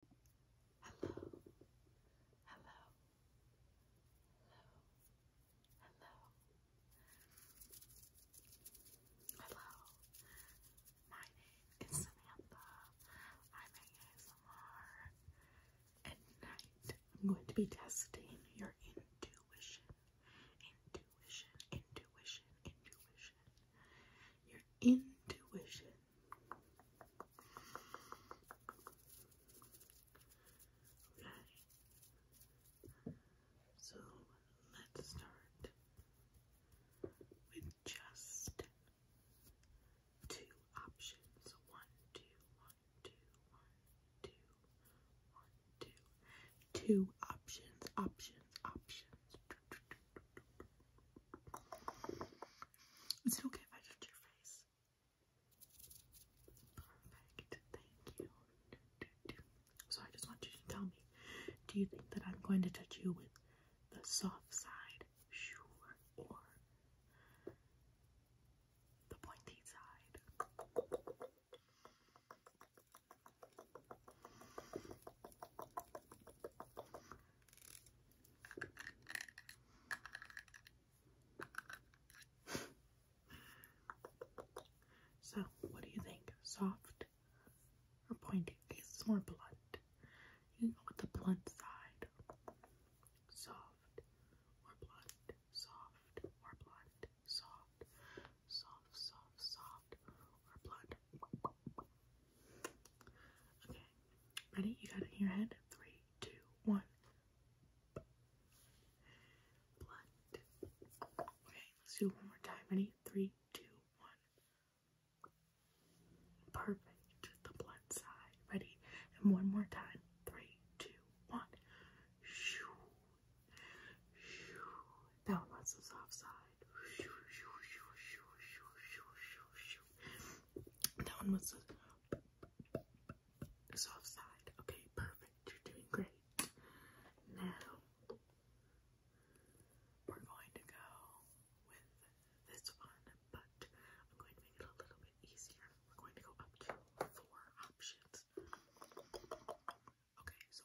Hello, hello, hello, hello. My name is Samantha. I'm ASMR. At night, I'm going to be testing your intuition, intuition, intuition, intuition. Your intuition Okay. So let's start with just two options. One, two, one, two, one, two, one, two. Two options, options, options. Is it okay if I touch your face? Perfect. Thank you. So I just want you to tell me, do you think that I'm going to touch you with the soft side, sure, or the pointy side? so, what do you think? Soft or pointy? It's more blunt. You know, with the blunt side. Soft or blunt. Soft or blunt. Soft, soft, soft or blunt. Okay, ready? You got it in your head? Three, two, one. Blood. Okay, let's do it one more time. Ready? Three, two, one. Perfect. The blood side. Ready? And one more time. Three, two, one. Shoo. Shoo. That was the soft side. That one was soft side. Okay, perfect. You're doing great. Now we're going to go with this one, but I'm going to make it a little bit easier. We're going to go up to four options. Okay, so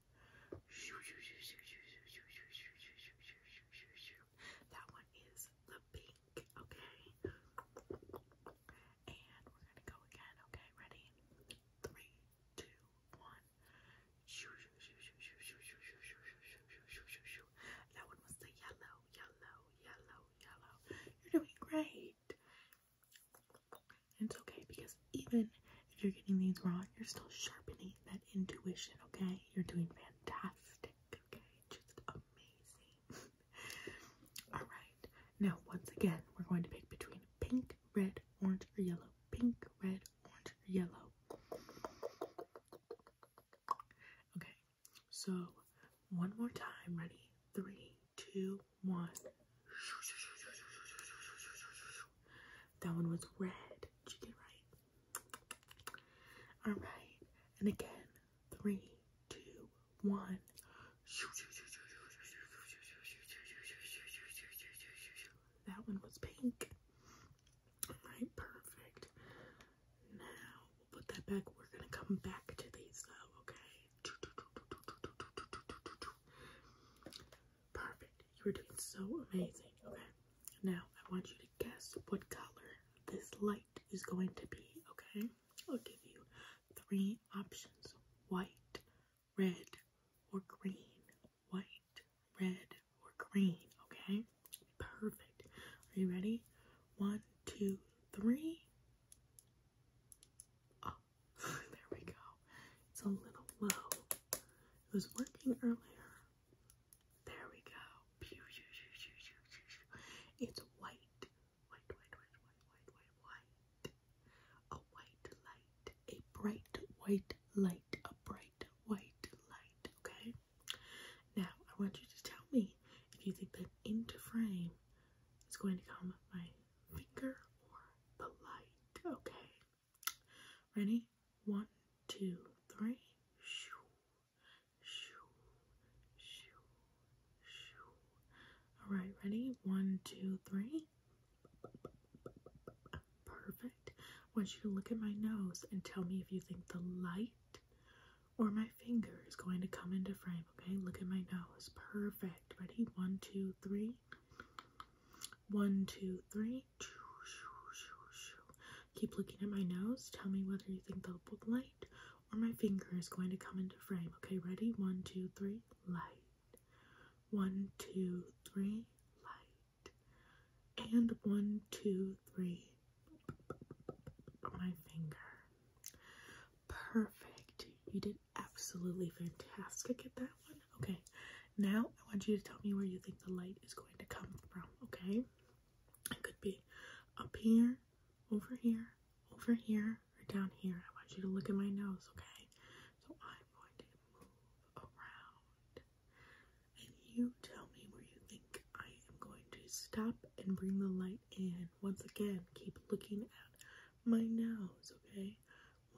that one is the pink, okay? And we're gonna go again, okay? Ready? Three, two, one. That one was the yellow, yellow, yellow, yellow. You're doing great it's okay because even if you're getting these wrong, you're still sharpening that intuition, okay? You're doing fantastic, okay? Just amazing. Alright, now once again, we're going to pick between pink, red, orange, or yellow. Pink, red, orange, or yellow. Okay, so one more time. Ready? Three, two, one. That one was red. Did you get right? All right. And again, three, two, one. That one was pink. All right, perfect. Now we'll put that back. We're gonna come back to these though, okay? Perfect. You are doing so amazing. Okay. Now I want you to guess what color this light is going to be. Okay. I'll give you three options: white, red, or green. White, red, or green. Okay. Perfect. Are you ready? One, two, three there we go. It's a little low. It was working earlier. There we go. It's white. White, white, white, white, white, white, A white light. A bright white light. A bright white light. Okay? Now, I want you to tell me if you think that into frame is going to come my finger or the light. Okay. Ready? One, two, three. Shoo, shoo, shoo, shoo. All right, ready? One, two, three. Perfect. I want you to look at my nose and tell me if you think the light or my finger is going to come into frame. Okay, look at my nose. Perfect. Ready? One, two, three. One, two, three. Keep looking at my nose. Tell me whether you think the light or my finger is going to come into frame. Okay, ready? One, two, three. Light. One, two, three. Light. And one, two, three. My finger. Perfect. You did absolutely fantastic at that one. Okay, now I want you to tell me where you think the light is going to come from, okay? It could be up here, over here, over here, or down here. I want you to look at my nose, okay? So I'm going to move around. And you tell me where you think I am going to stop and bring the light in. Once again, keep looking at my nose, okay?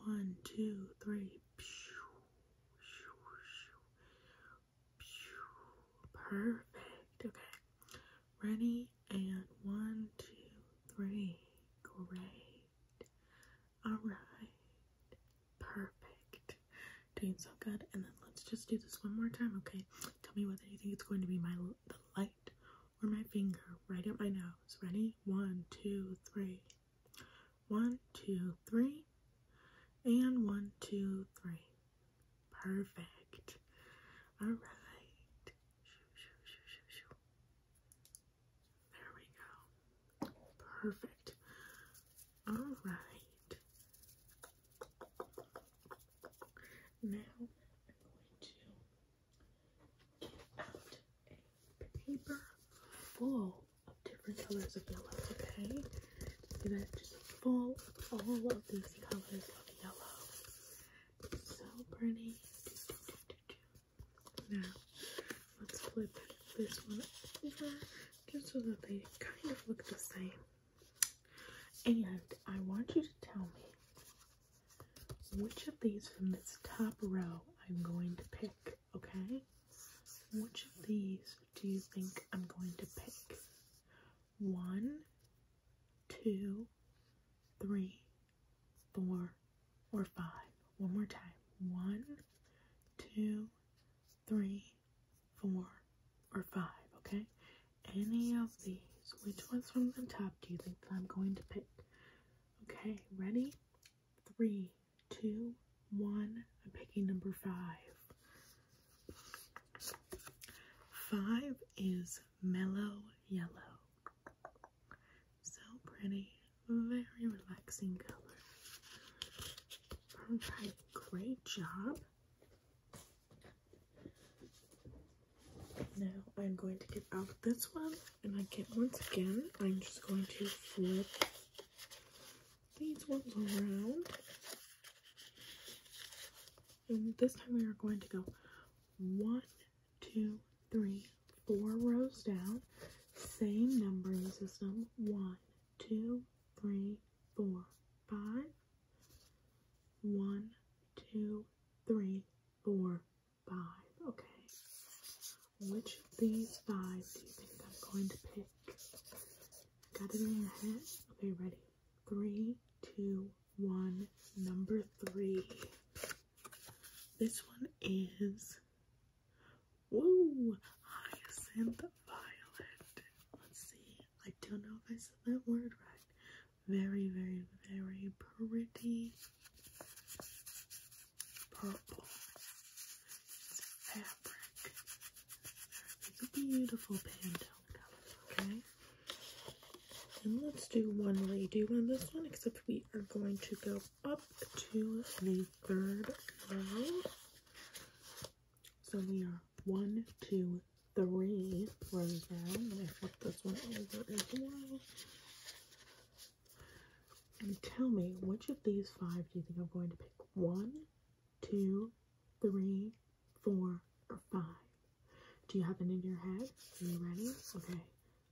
One, two, three. Perfect. Okay. Ready? And one, two, three. Great. All right. Perfect. Doing so good. And then let's just do this one more time, okay? Tell me whether you think it's going to be my the light or my finger right at my nose. Ready? One, two, three. One, two, three. And one, two, three. Perfect. All right. There we go. Perfect. All right. Now I'm going to get out a paper full of different colors of yellow, okay? So that just full all of these colors of yellow. so pretty. Now let's flip this one over just so that they kind of look the same. And I want you to tell me which of these from this top row I'm going to pick, okay? Which of these do you think I'm going to pick? One, two, three, four, or five. One more time. One, two, three, four, or five, okay? any of these. Which ones from the top do you think that I'm going to pick? Okay, ready? Three, two, one. I'm picking number five. Five is mellow yellow. So pretty, very relaxing color. Alright, great job. Now I'm going to get out this one and I get once again, I'm just going to flip these ones around. And this time we are going to go one, two, three, four rows down. Same numbering system. One, two, three, four, five, one, two, three, four, five. Okay. Which of these five do you think I'm going to pick? Got it in your head? Okay, ready? Three, two, one. Number three. This one is. Woo! Hyacinth Violet. Let's see. I don't know if I said that word right. Very, very, very pretty purple. It's fabric. a beautiful Pantone color, okay? And let's do one redo on this one, except we are going to go up to the third row. So we are one, two, three rows down. Let me flip this one over as well. And tell me, which of these five do you think I'm going to pick? One, two, three, four, or five? Do you have it in your head? Are you ready? Okay.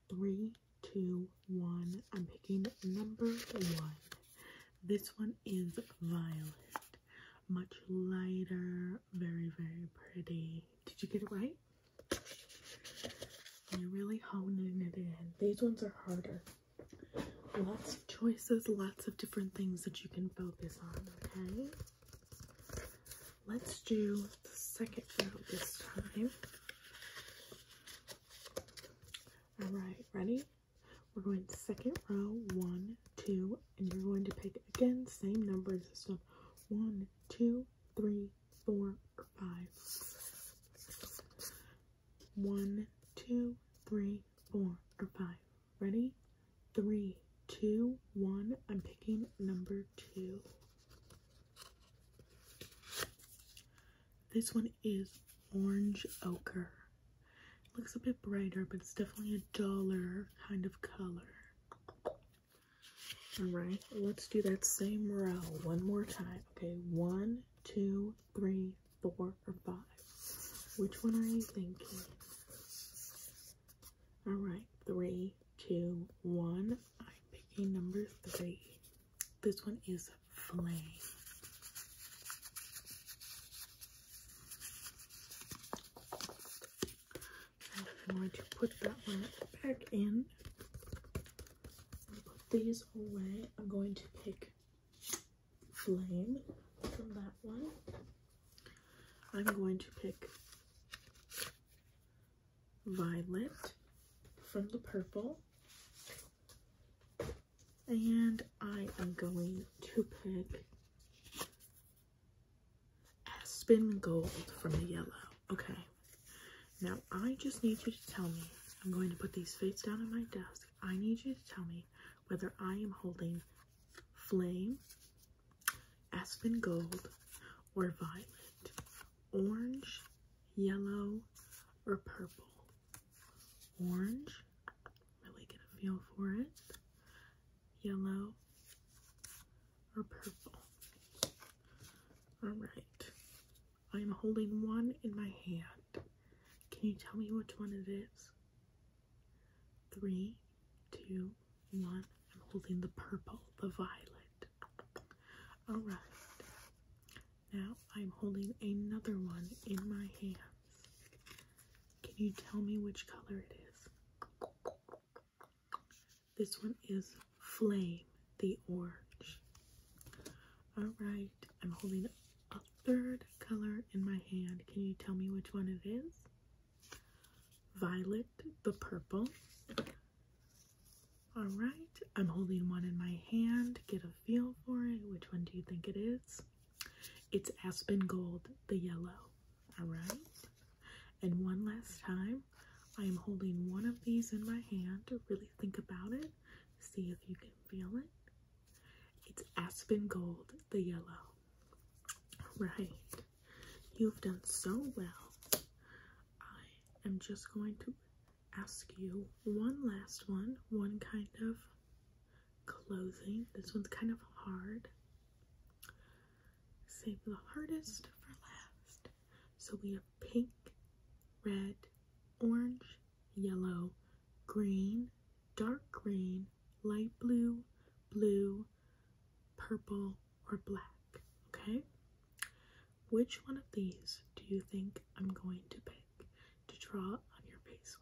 Three, two, one. I'm picking number one. This one is violet. Much lighter, very, very pretty. Did you get it right? I'm really honing it in. These ones are harder. Lots of choices, lots of different things that you can focus on, okay? Let's do the second row this time. Alright, ready? We're going second row, one, two, and you're going to pick again, same numbers and stuff. One, two, three, four, five. One, two, three, four, or five. Ready? Three, two, one. I'm picking number two. This one is orange ochre looks a bit brighter, but it's definitely a duller kind of color. Alright, let's do that same row one more time. Okay, one, two, three, four, or five. Which one are you thinking? Alright, three, two, one. I'm picking number three. This one is flame. I'm going to put that one back in. Put these away. I'm going to pick flame from that one. I'm going to pick violet from the purple. And I am going to pick Aspen Gold from the yellow. Okay. Now, I just need you to tell me, I'm going to put these fades down on my desk. I need you to tell me whether I am holding Flame, Aspen Gold, or Violet, Orange, Yellow, or Purple orange, really get a feel for it, yellow, or purple. Alright, I am holding one in my hand. Can you tell me which one it is? Three, two, one. I'm holding the purple, the violet. Alright, now I'm holding another one in my hand. Can you tell me which color it is? This one is Flame, the orange. Alright, I'm holding a third color in my hand. Can you tell me which one it is? Violet, the purple. Alright, I'm holding one in my hand. Get a feel for it. Which one do you think it is? It's Aspen Gold, the yellow. Alright? And one last time, I am holding one of these in my hand to really think about it. See if you can feel it. It's Aspen Gold, the yellow. Right. You've done so well. I am just going to ask you one last one, one kind of clothing. This one's kind of hard. Save the hardest for last. So we have pink, red, orange, yellow, green, dark green, light blue, blue, purple, or black. Okay? Which one of these do you think I'm going to pick? to draw on your face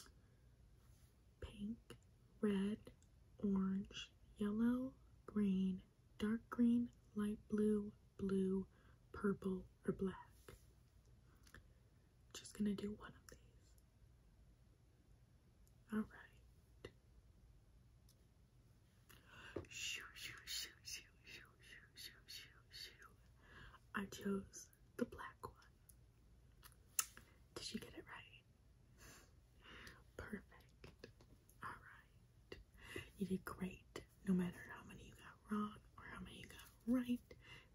with. Pink, red, orange, yellow, green, dark green, light blue, blue, purple, or black. Just gonna do one of these. Alright. Shoo, shoo, shoo, shoo, shoo, shoo, shoo, shoo. I chose the black one. Did you get it right? Perfect. Alright. You did great. No matter how many you got wrong or how many you got right,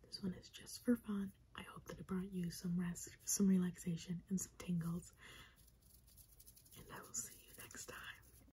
this one is just for fun. I hope that it brought you some rest, some relaxation, and some tingles. And I will see you next time.